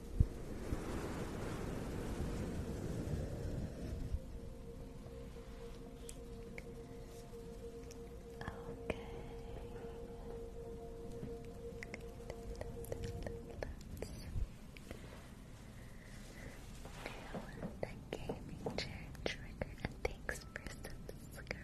Okay. Let's the gaming chair trigger and thanks for subscribing.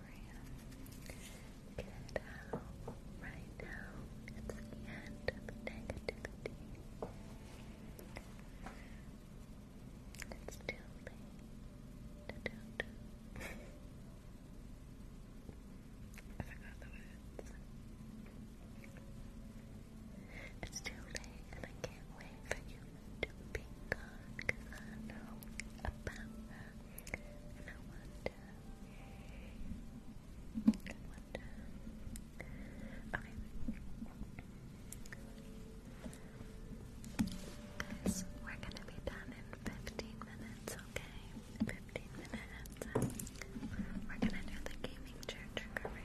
program. Right now, it's the end of negativity. It's too late to do I forgot the words. It's too late and I can't wait for you to be gone about and I Guys, we're gonna be done in 15 minutes, okay? 15 minutes. We're gonna do the gaming chair triggering.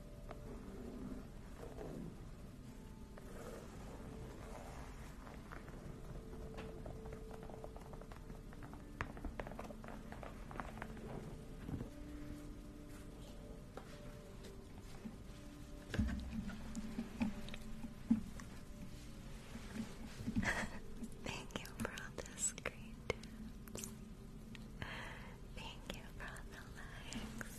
Thank you for all the screen Thank you for the likes.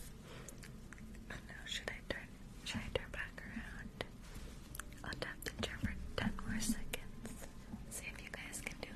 should I turn should I turn back around? I'll tap the chair for ten more seconds. See if you guys can do it.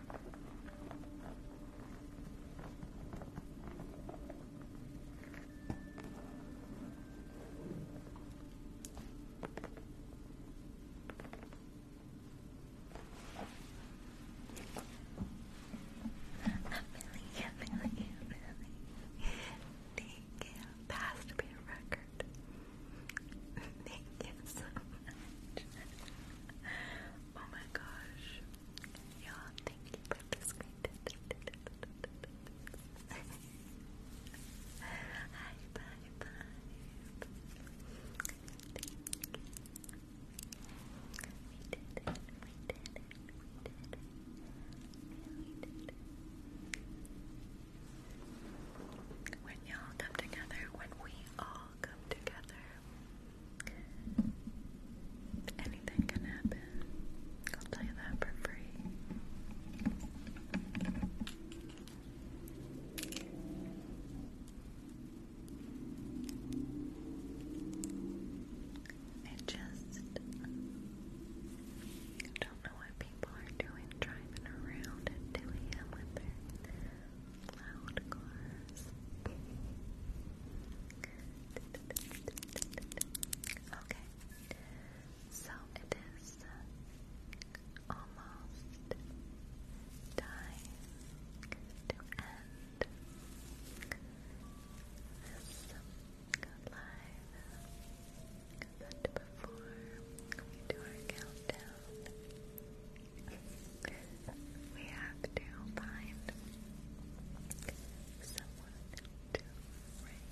Thank you, Billy. Thank you. Past beer record heart. Thank you Oh my gosh. Y'all, thank you for the We did it, we did it, we did it, we did it. When y'all come together, when we all come together. Anything can happen. I'll tell you that for free. I just don't know what people are doing driving around at 2 a.m. with their Loud cars. okay. So it is almost time to end this live. But before we do our countdown, we have to find someone to raid.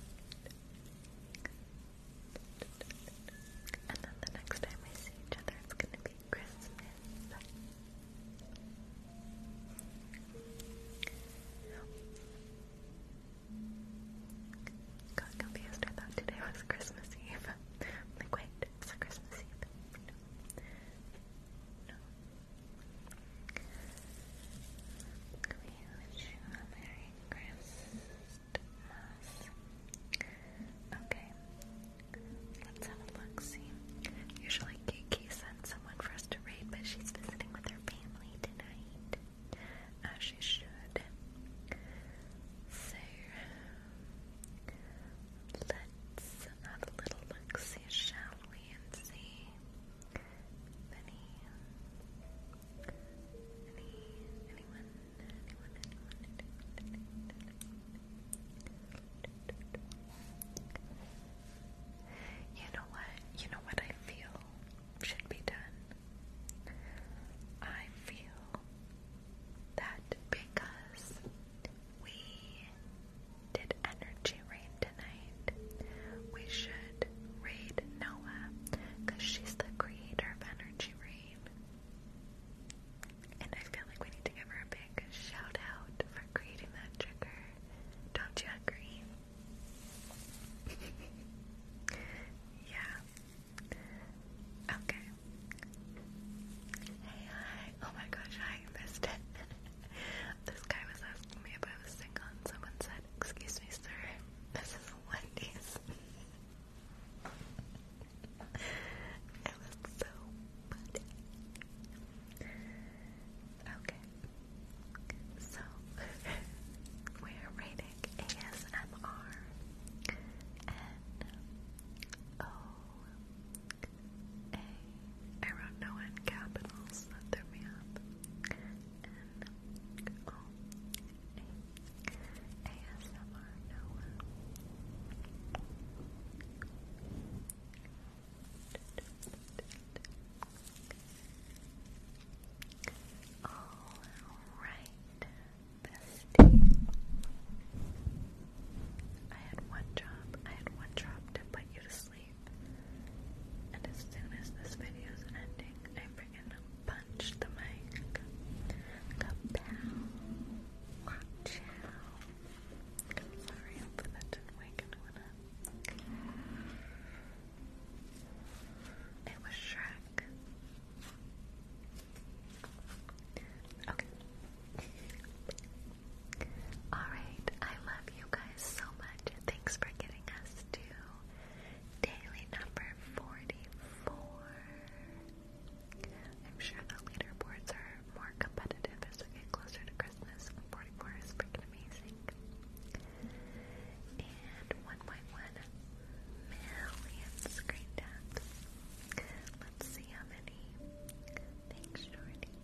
And then the next time we see each other, it's gonna be Christmas. Got confused. I thought today was Christmas Eve i it's a Christmas Eve. We wish you a Merry Christmas. Okay. Let's have a look, see. Usually Kiki sends someone for us to read, but she's visiting with her family tonight. As she should. So Let's have a little look see, shall we, and see any, any, anyone, anyone, anyone, anyone, anyone. You know what? You know what I feel should be done? I feel that because we did energy rain tonight. We should raid Noah because she's the creator of energy rain. And I feel like we need to give her a big shout for creating that trigger. Don't you agree? yeah, Okay. Hey, hi. Oh my gosh, I missed it. this guy was asking me if I was single, someone said, Excuse me, sir, this is Wendy's. it was so Okay. So, we're rating ASMR and a. I wrote no in capitals, that threw me N. O. Oh, A. ASMR, no All right bestie. I had one job. I had one job to put you to sleep. And as soon as this video's ending, I freaking punched the mic. Kapow. Watch out. I'm sorry, It was Shrek. Okay. Alright, I love you guys so much. Thanks for getting us to daily number 44. I'm sure the leaderboards are more competitive as we get closer to Christmas. 44 is freaking amazing. And 1.1 million screen taps. Let's see how many. Thanks, Jordy.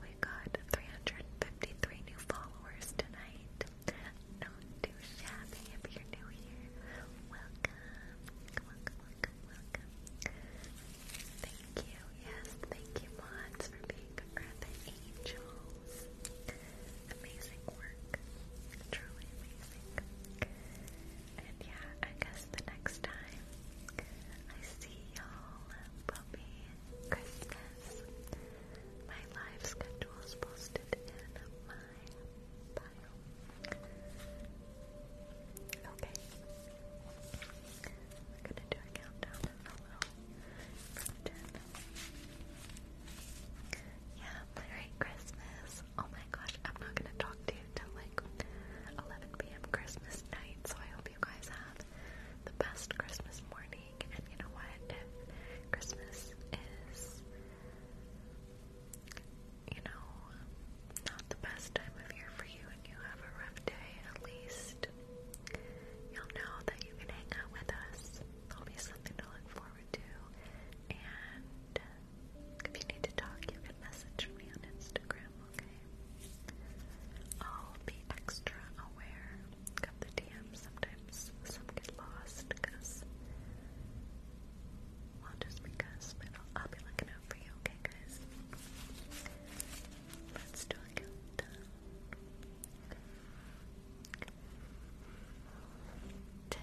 We got 353 new followers tonight. Not too shabby if you're new here. Welcome. Welcome, welcome, welcome. Thank you. Yes, thank you, Mods, for being the angels. Amazing work. Truly amazing. And yeah, I guess the next time I see y'all will be Christmas. My live schedule is posted in my bio. Okay. We're gonna do a countdown and follow from Yeah, Merry Christmas. Oh my gosh, I'm not gonna talk to you until like 11 p.m. Christmas night. So I hope you guys have the best Christmas morning. And you know what? If Christmas is, you know, not the best time of year for you and you have a rough day, at least you'll know that you can hang out with us. There'll be something to look forward to. And if you need to talk, you can message me on Instagram, okay? I'll be extra aware of the DMs. Sometimes some get lost because, well, just because, but I'll, I'll be looking out for you, okay, guys? Let's do a countdown. 10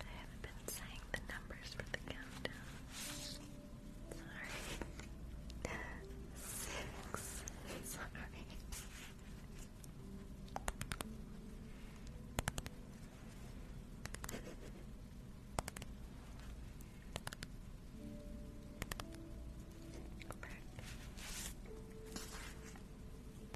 I haven't been saying the numbers for the countdown. Sorry. Six. Sorry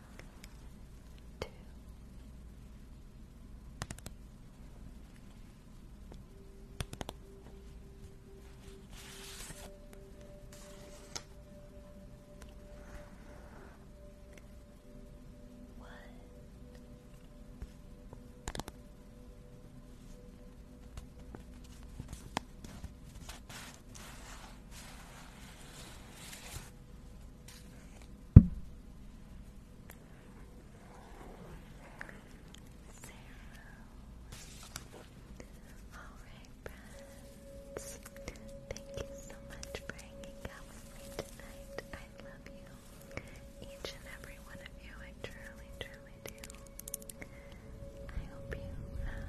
two, one. Two. Alright, friends. Thank you so much for hanging out with me tonight. I love you. Each and every one of you, I truly, truly do. I hope you have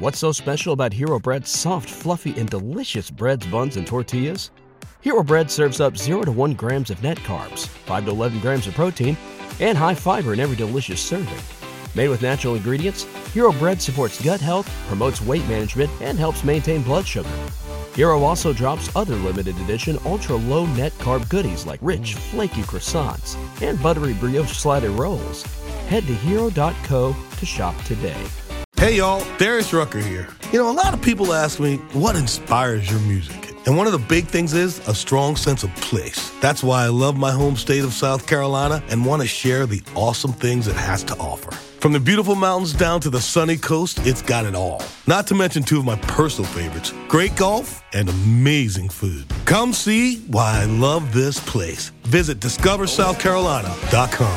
What's so special about Hero Bread's soft, fluffy, and delicious breads, buns, and tortillas? Hero Bread serves up 0 to 1 grams of net carbs, 5 to 11 grams of protein, and high fiber in every delicious serving. Made with natural ingredients, Hero Bread supports gut health, promotes weight management, and helps maintain blood sugar. Hero also drops other limited edition ultra low net carb goodies like rich, flaky croissants and buttery brioche slider rolls. Head to hero.co to shop today. Hey y'all, Darius Rucker here. You know, a lot of people ask me, what inspires your music? And one of the big things is a strong sense of place. That's why I love my home state of South Carolina and want to share the awesome things it has to offer. From the beautiful mountains down to the sunny coast, it's got it all. Not to mention two of my personal favorites great golf and amazing food. Come see why I love this place. Visit discoversouthcarolina.com.